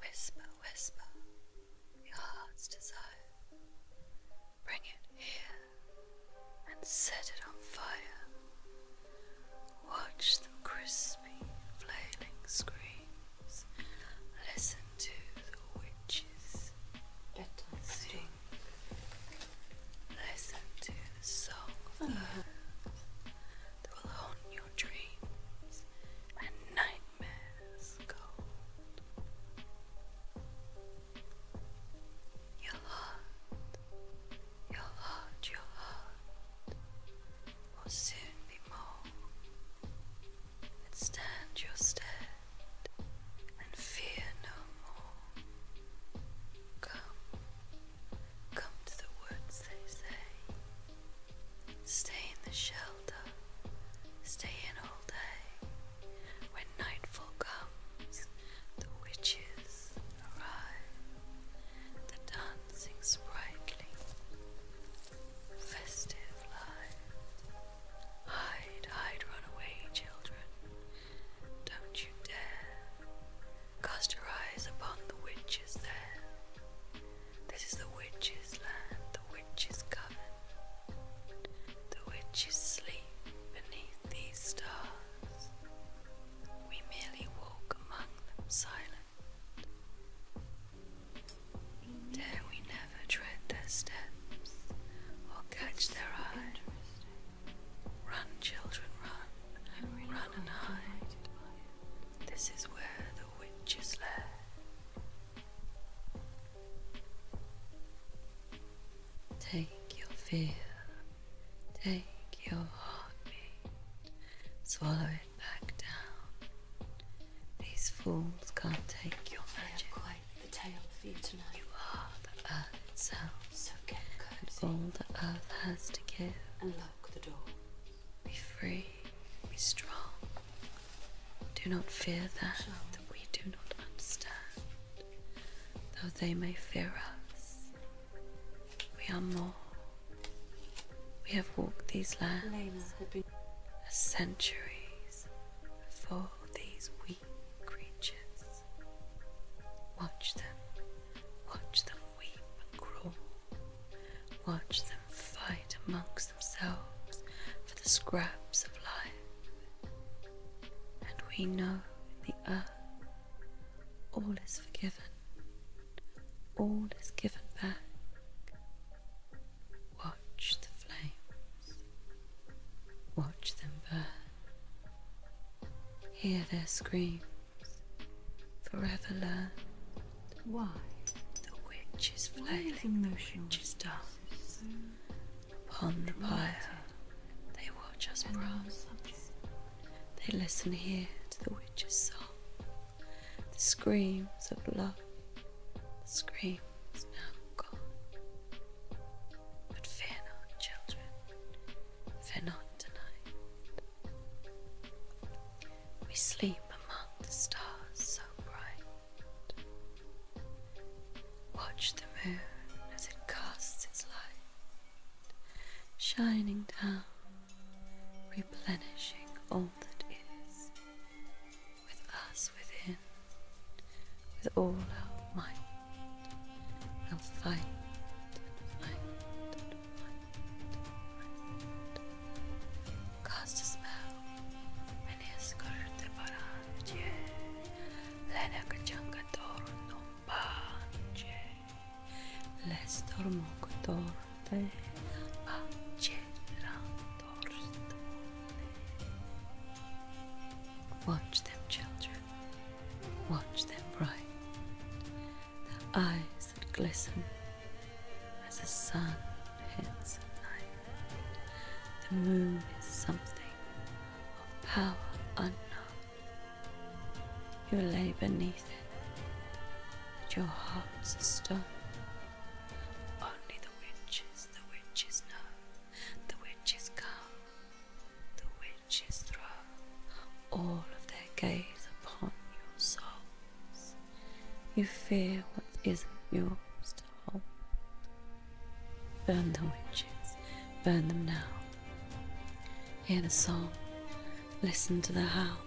Whisper, whisper your heart's desire. Bring it here and set it on fire. Watch the crispy, flailing screams. Listen to the witches. Bedtime sing. Listen to the song mm-hmm. that will haunt your dreams and nightmares cold. Your heart, your heart, your heart will soon be more stand your stead and fear no more. Come, come to the woods, they say. Stay in the shelter, stay in all day. When nightfall comes, the witches arrive, the dancing sprightly, festive life. Hide, hide, run away, children. Don't you dare Cast your eyes upon the witches there. This is the witch's land, the witch's coven. The witches sleep beneath these stars. We merely walk among them silent. Dare we never tread their steps or catch their eyes? Run, children, run, run and hide. This is where the witches lair. Take your fear, take your heartbeat, swallow it back down. These fools can't take your magic. quite the tale for you tonight. You are the earth itself. So get cozy. All the earth has to give. And lock the door. Be free, be strong. Do not fear that that we do not understand, though they may fear us. We are more. We have walked these lands as centuries For these weak creatures. Watch them Watch them weep and crawl. Watch them fight amongst themselves for the scraps of life. And we know the earth all is forgiven, all is given back. Watch the flames, watch them burn, hear their scream. Forever learned. Why? The witch is flailing, the witch is dance. Upon the pile. they watch us browse. They listen here to the witch's song. The screams of love. The screams now gone. But fear not, children though not tonight. We sleep among the stars so bright. Watch the moon as it casts its light, shining down, replenishing all that is, with us within, with all our might. I'll fight, fight. Cast a spell and escort paranche. Lena kachanga torno pace. L'estormo torte pace la torstone. Watch them, children. Watch them bright. The eyes that glisten as the sun hits night. The moon is something of power unknown. You lay beneath it, but your heart's a stone. Only the witches, the witches know, the witches come, riches throw all of their gaze upon your souls. You fear what isn't yours to hold. Burn the witches, burn them now. Hear the song, listen to the howl.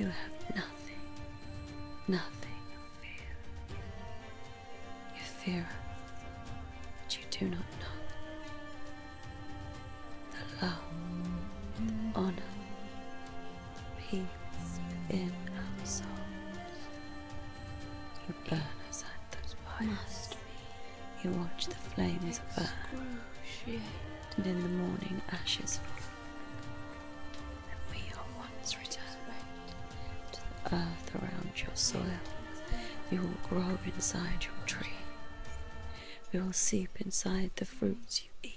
You have nothing, nothing to fear. You fear what you do not know. The love, the honor, peace within our souls. You burn us at those fires. You watch the flames burn. And in the morning ashes fall. And we are once returned to the earth around your soil. You will grow inside your tree. We will seep inside the fruits you eat.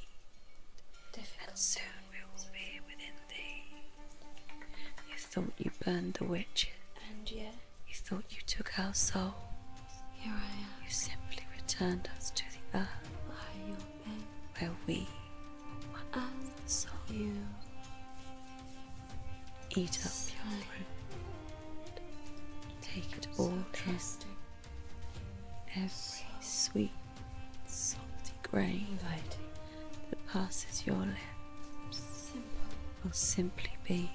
Difficult. And soon we will be within thee. You thought you burned the witches. And yet. You thought you took our souls. Here I am. You simply returned us to the earth. Where we I saw you eat up your fruit, take it all in, every sweet, salty grain that passes your lips will simply be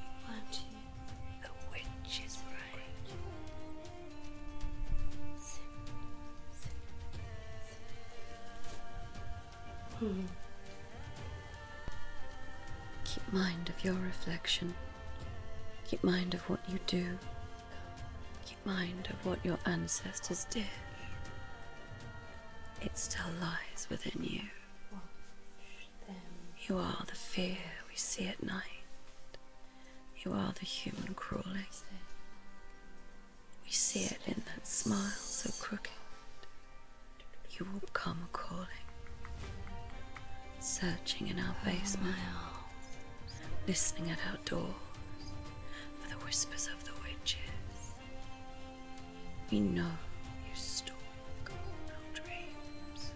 the witch's brain. Hmm. Keep mind of your reflection. Keep mind of what you do. Keep mind of what your ancestors did. It still lies within you. You are the fear we see at night. You are the human crawling. We see it in that smile so crooked. You will come a calling, searching in our basement, listening at our doors for the whispers of the witches. We know you stalk our dreams.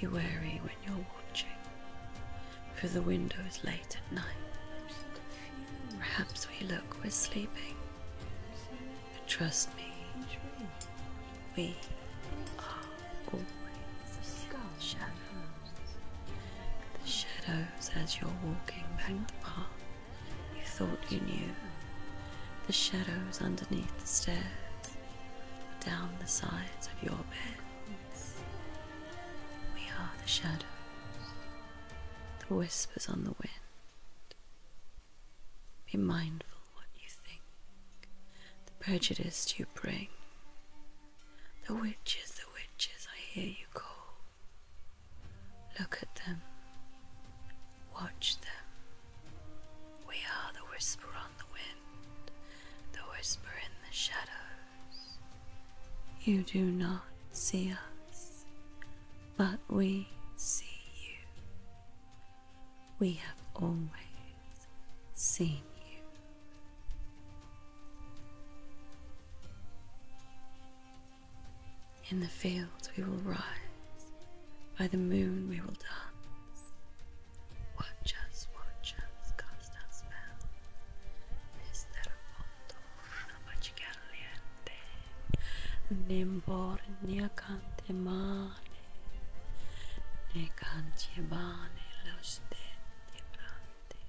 Be wary when you're watching through the windows late at night. Perhaps we look we're sleeping. But trust me, we are always shadows. The shadows as you're walking back the path you thought you knew. The shadows underneath the stairs, down the sides of your beds. We are the shadows. The whispers on the wind. Be mindful what you think, the prejudice you bring. The witches, the witches, I hear you call. Look at them, watch them. We are the whisper on the wind, the whisper in the shadows. You do not see us, but we see you. We have always seen you. In the fields we will rise, by the moon we will dance. Watch us, watch us, come. Mister Fondo Caliente Ne borni a cante male Ne canti bane lo stenti brandi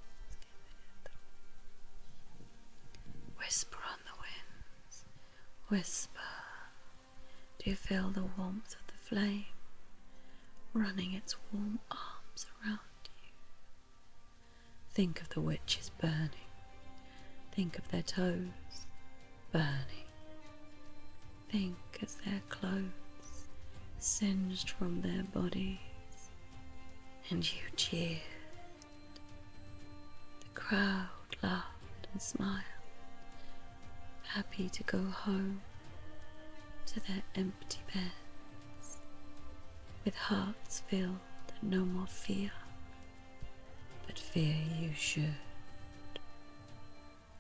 Whisper on the winds Whisper Do you feel the warmth of the flame running its warm arms around you? Think of the witches burning. Think of their toes burning. Think of their clothes singed from their bodies. And you cheer. The crowd laughed and smiled, happy to go home to their empty beds with hearts filled no more fear, but fear you should,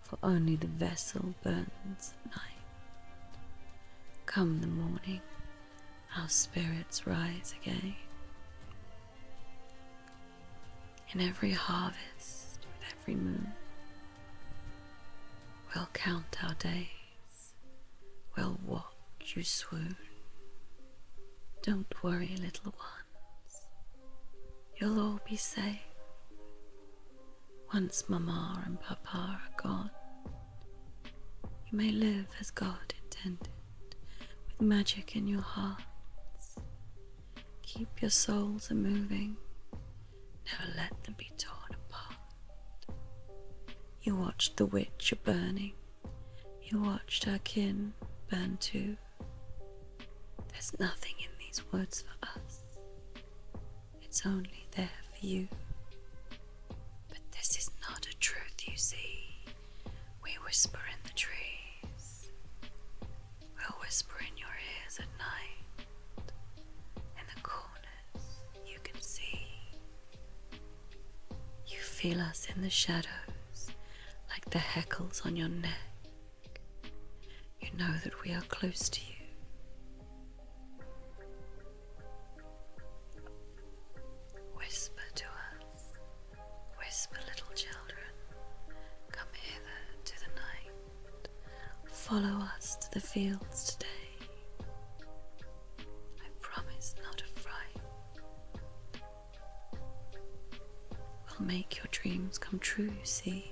for only the vessel burns at night. Come the morning, our spirits rise again. In every harvest, with every moon, we'll count our days well, watch you swoon. Don't worry, little ones. You'll all be safe. Once Mamma and Papa are gone, you may live as God intended, with magic in your hearts. Keep your souls a moving, never let them be torn apart. You watched the witch burning. You watched her kin burn too. There's nothing in these words for us. It's only there for you. But this is not a truth, you see. We whisper in the trees. We'll whisper in your ears at night, in the corners you can see. You feel us in the shadows, like the heckles on your neck. You know that we are close to you. Whisper to us, whisper, little children, come hither to the night, follow us to the fields today. I promise not to fright. We'll make your dreams come true, you see.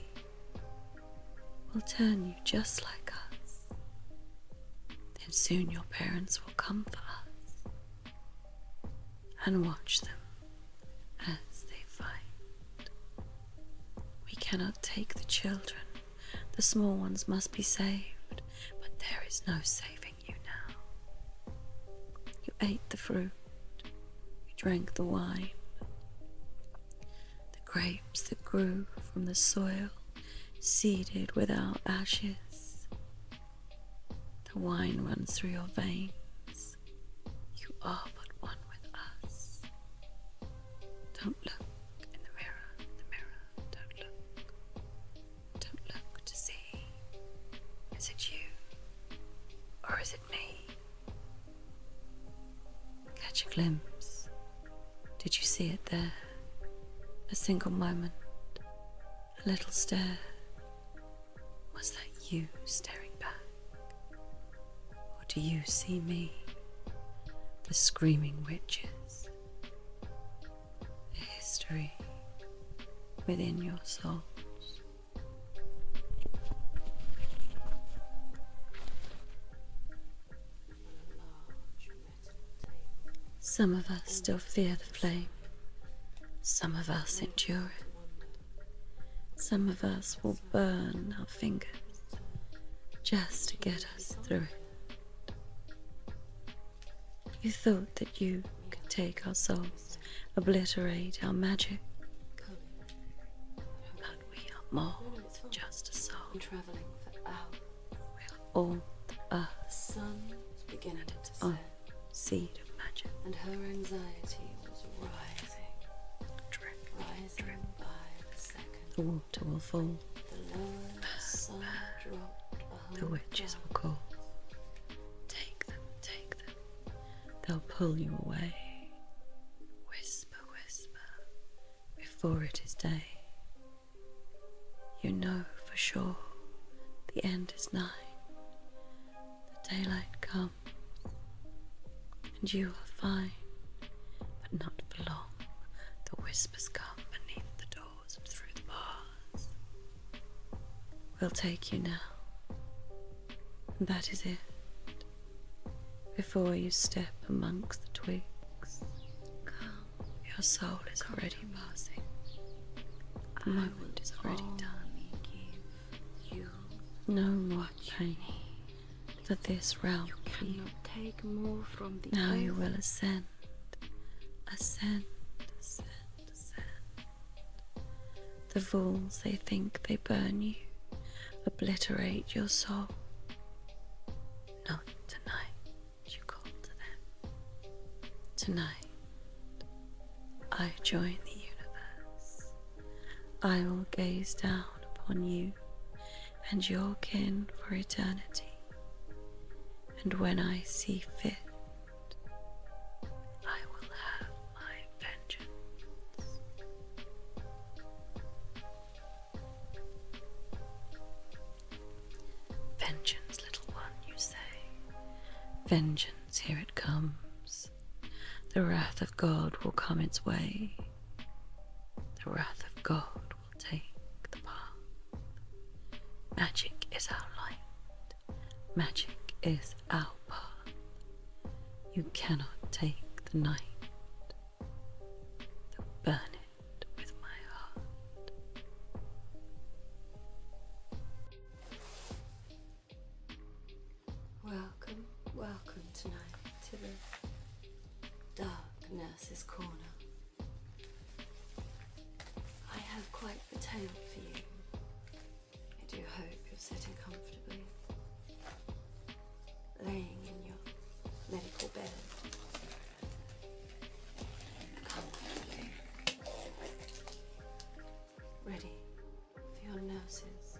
We'll turn you just like us. Then soon your parents will come for us and watch them as they fight. We cannot take the children. The small ones must be saved, but there is no saving you now. You ate the fruit, you drank the wine. The grapes that grew from the soil, seeded without ashes. The wine runs through your veins. You are but one with us. Don't look in the mirror, in the mirror. Don't look. Don't look to see. Is it you? Or is it me? Catch a glimpse. Did you see it there? A single moment. A little stare. Was that you staring back? Or do you see me? The screaming witches past, history within your souls. Some of us still fear the flame, some of us endure it. Some of us will burn our fingers just to get us through you thought that you could take our souls, obliterate our magic. But we are more than just a soul. traveling for hours. We are all the earth. The sun was beginning to set. On seed of magic. And her anxiety was Rising the water will fall. The witches will call. Take them, take them. They'll pull you away. Whisper, whisper, before it is day. You know for sure the end is nigh. The daylight comes and you are fine. But not for long. The whispers come beneath the doors and through the bars. We'll take you now. And that is it. Before you step amongst the twigs, Your soul is already passing. My word is already done. Give you no more pain. Need for this realm. You take more from the now you will ascend, ascend, ascend, ascend. The fools, they think they burn you, obliterate your soul. Not tonight, you call to them. Tonight, I join the universe. I will gaze down upon you and your kin for eternity. And when I see fit, I will have my vengeance. Vengeance, little one, you say. Vengeance, here it comes. The wrath of God will come its way. The wrath of God will take the path. Magic is our light. Magic is our path. You cannot take the night. Though burn with my heart. Welcome, welcome tonight to the dark nurse's corner. I have quite the tale for you. I do hope you're sitting comfortably, laying in your medical bed. Comfortably. Ready for your nurses.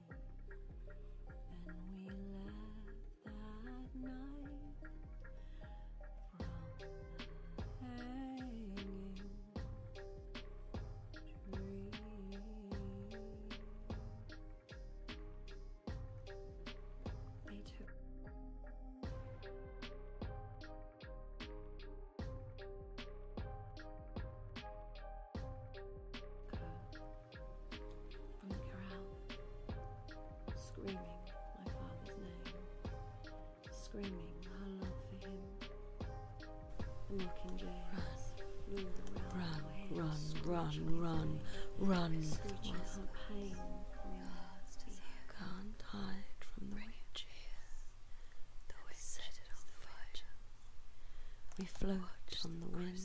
and we left that night from hanging tree. They took. Good on the corral, screaming my father's name, screaming her love for him. The mockingjay flew around run, my run, run, run, run, screeching pain from your heart to can't hide from the witch here, though it set it on fire. We float on the wind,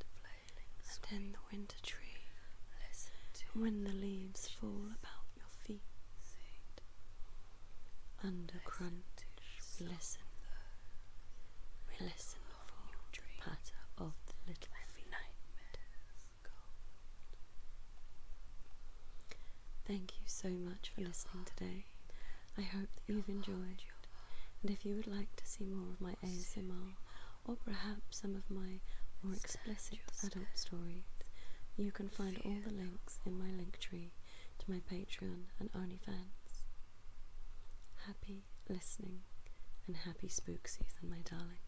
and then the winter tree, and when the leaves fall about your feet, under crunch we listen, we listen for the patter of the little night. Thank you so much for listening today. I hope that you've enjoyed. And if you would like to see more of my ASMR or perhaps some of my more explicit adult stories, you can find all the links in my link tree to my Patreon and OnlyFans. Happy listening and happy spook season, my darlings.